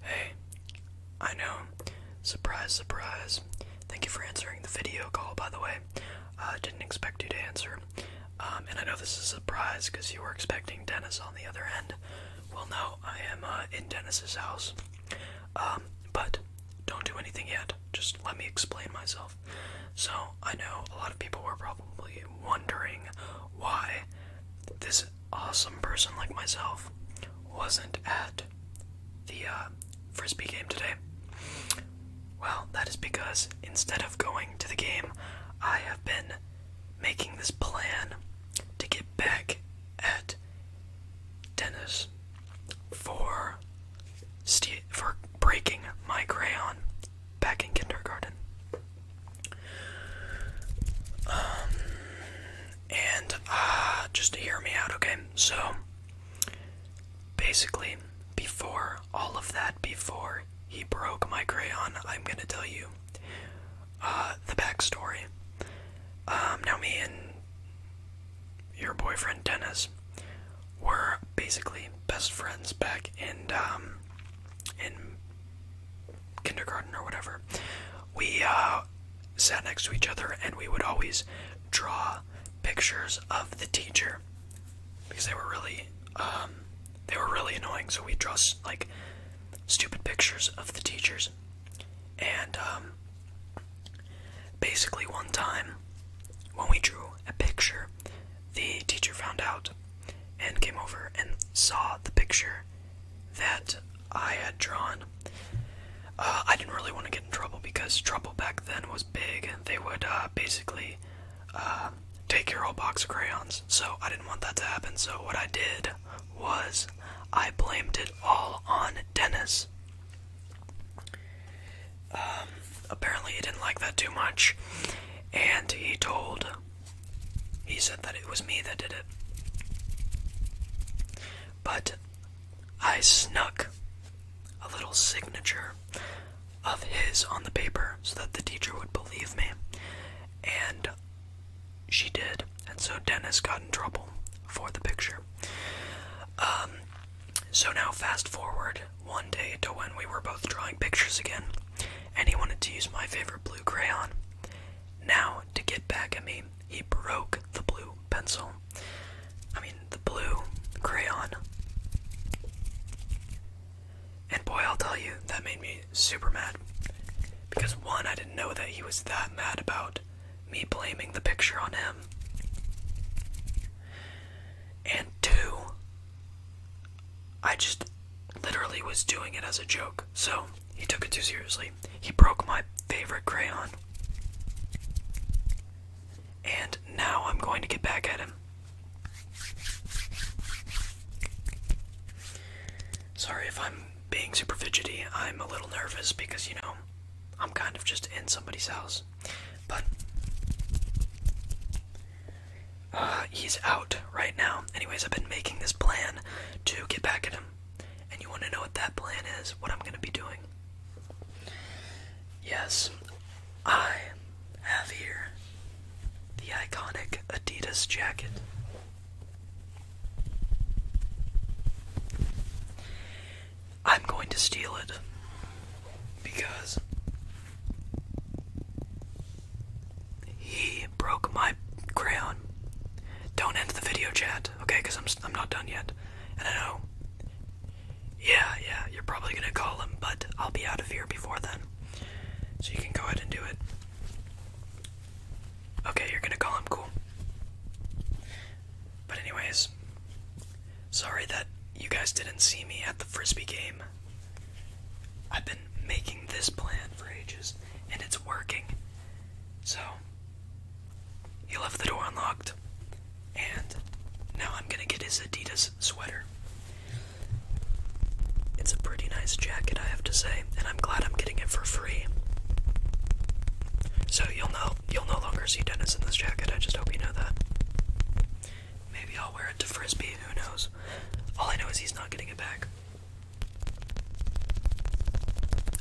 Hey, I know. Surprise, surprise. Thank you for answering the video call, by the way. Uh, didn't expect you to answer. Um, and I know this is a surprise because you were expecting Dennis on the other end. Well, no, I am uh, in Dennis's house. Um, but don't do anything yet. Just let me explain myself. So, I know a lot of people are probably wondering why this awesome person like myself wasn't at the uh, frisbee game today? Well, that is because instead of going to the game, I have been making this plan to get back at Dennis for for breaking my crayon back in kindergarten. Um, and uh, just hear me out, okay? So, basically, before all of that, before he broke my crayon, I'm gonna tell you uh, the backstory. Um, now, me and your boyfriend Dennis were basically best friends back in um, in kindergarten or whatever, we uh, sat next to each other and we would always draw pictures of the teacher because they were really um, they were really annoying. So we drew like stupid pictures of the teachers, and um, basically one time when we drew a picture, the teacher found out and came over and saw the picture that I had drawn. Uh, I didn't really want to get in trouble because trouble back then was big. They would uh, basically uh, take your whole box of crayons, so I didn't want that to happen. So what I did was I blamed it all on Dennis. Um, apparently, he didn't like that too much, and he told he said that it was me that did it. But I snuck a little signature of his on the paper so that the teacher would believe me. And she did. And so Dennis got in trouble for the picture. Um, so now, fast forward one day to when we were both drawing pictures again, and he wanted to use my favorite blue crayon. Now, to get back at me, he broke the blue pencil. I mean, the blue crayon. And boy, I'll tell you, that made me super mad. Because one, I didn't know that he was that mad about me blaming the picture on him. And two, I just literally was doing it as a joke. So he took it too seriously. He broke my favorite crayon. And now I'm going to get back at him. Sorry if I'm being super fidgety. I'm a little nervous because, you know, I'm kind of just in somebody's house. But uh, he's out right now. Anyways, I've been making this plan to get back at him. And you want to know what that plan is? What I'm going to be doing? Yes, I have here the iconic Adidas jacket. I'm going to steal it because he broke my crayon. Don't end the video chat, okay? Because I'm, I'm not done yet. And I know. Yeah, yeah, you're probably going to call him, but I'll be out of here before then. So you can go ahead and do it. Okay, you're going to call him, cool. But, anyways, sorry that you guys didn't see me at the frisbee game. I've been making this plan for ages and it's working. So, you left the door unlocked, and now I'm gonna get his Adidas sweater. It's a pretty nice jacket, I have to say, and I'm glad I'm getting it for free. So you'll know you'll no longer see Dennis in this jacket. I just hope you know that. Maybe I'll wear it to Frisbee, who knows? All I know is he's not getting it back.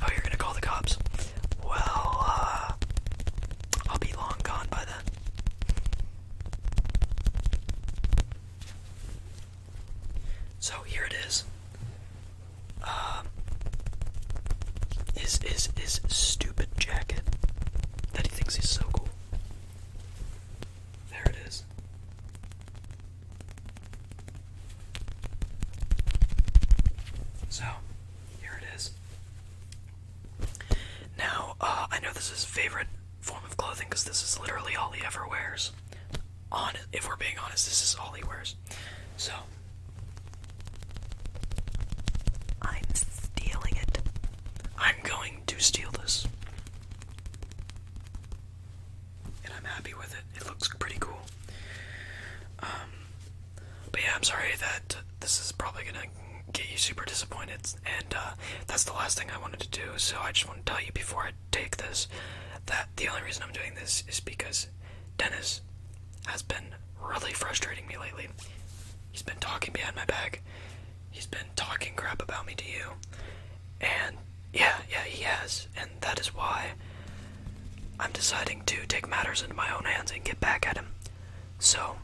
Oh, you're gonna call the cops? Well, uh, I'll be long gone by then. So here it is. Um, his, his, his stupid jacket that he thinks is so cool. There it is. So, here it is. Now, uh, I know this is his favorite form of clothing because this is literally all he ever wears. On, if we're being honest, this is all he wears. So, I'm stealing it. I'm going something to steal this. And I'm happy with it. It looks pretty cool. Um, but yeah, I'm sorry that this is probably gonna get you super disappointed. And uh, that's the last thing I wanted to do. So I just want to tell you before I take this that the only reason I'm doing this is because Dennis has been really frustrating me lately. He's been talking behind my back, he's been talking crap about me to you. And yeah, yeah, he has. And that is why I'm deciding to take matters into my own hands and get back at him. So,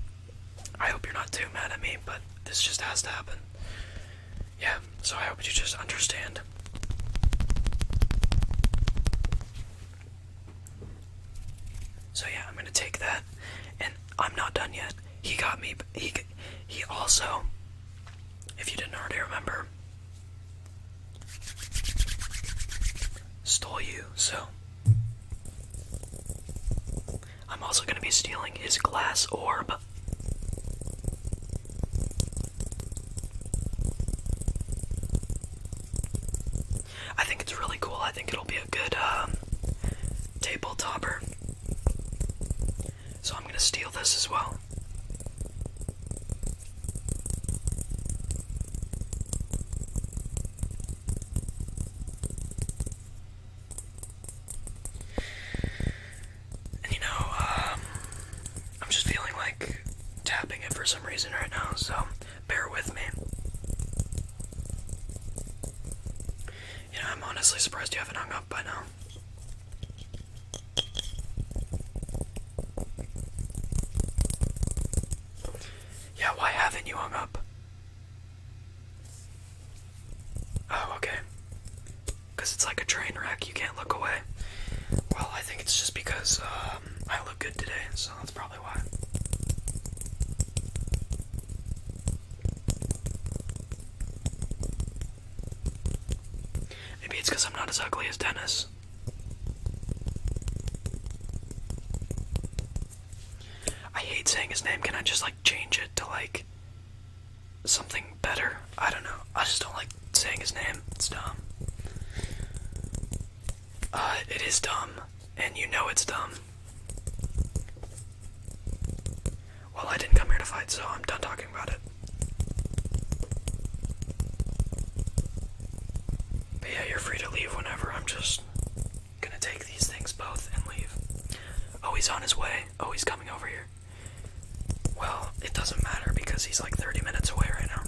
I hope you're not too mad at me, but this just has to happen. Yeah, so I hope you just understand. So, yeah, I'm gonna take that, and I'm not done yet he got me. He he also, if you didn't already remember, stole you. So I'm also gonna be stealing his glass orb. I think it's really cool. I think it'll be a good um, table topper. So I'm going to steal this as well. And you know, um, I'm just feeling like tapping it for some reason right now, so bear with me. You I'm honestly surprised you haven't hung up by now. Yeah, why haven't you hung up? Oh, okay. Because it's like a train wreck, you can't look away. Well, I think it's just because um, I look good today, so that's probably why. Maybe it's because I'm not as ugly as Dennis. I hate saying his name. Can I just like change it to like something better? I don't know. I just don't like saying his name. It's dumb. Uh, it is dumb, and you know it's dumb. Well, I didn't come here to fight, so I'm done talking about it. yeah, you're free to leave whenever. I'm just gonna take these things both and leave. Oh, he's on his way. Oh, he's coming over here. Well, it doesn't matter because he's like 30 minutes away right now.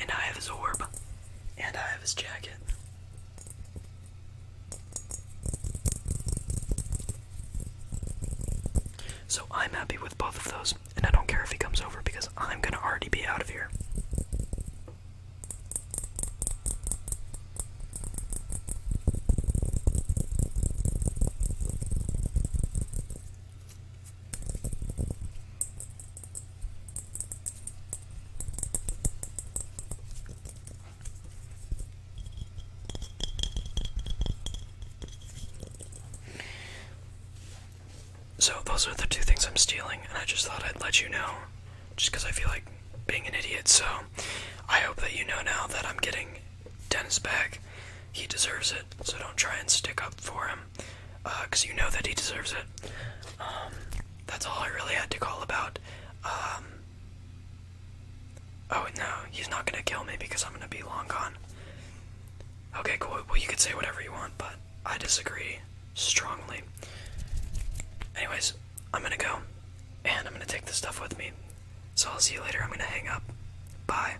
And I have his orb. And I have his jacket. So I'm happy with both of those, and I don't care if he comes over because I'm gonna already be out of here. So, those are the two things I'm stealing, and I just thought I'd let you know, just because I feel like being an idiot. So, I hope that you know now that I'm getting Dennis back. He deserves it, so don't try and stick up for him because uh, you know that he deserves it. Um, that's all I really had to call about. Um, oh no, he's not gonna kill me because I'm gonna be long gone. Okay, cool. Well, you can say whatever you want, but I disagree strongly. Anyways, I'm gonna go, and I'm gonna take this stuff with me. So I'll see you later. I'm gonna hang up. Bye.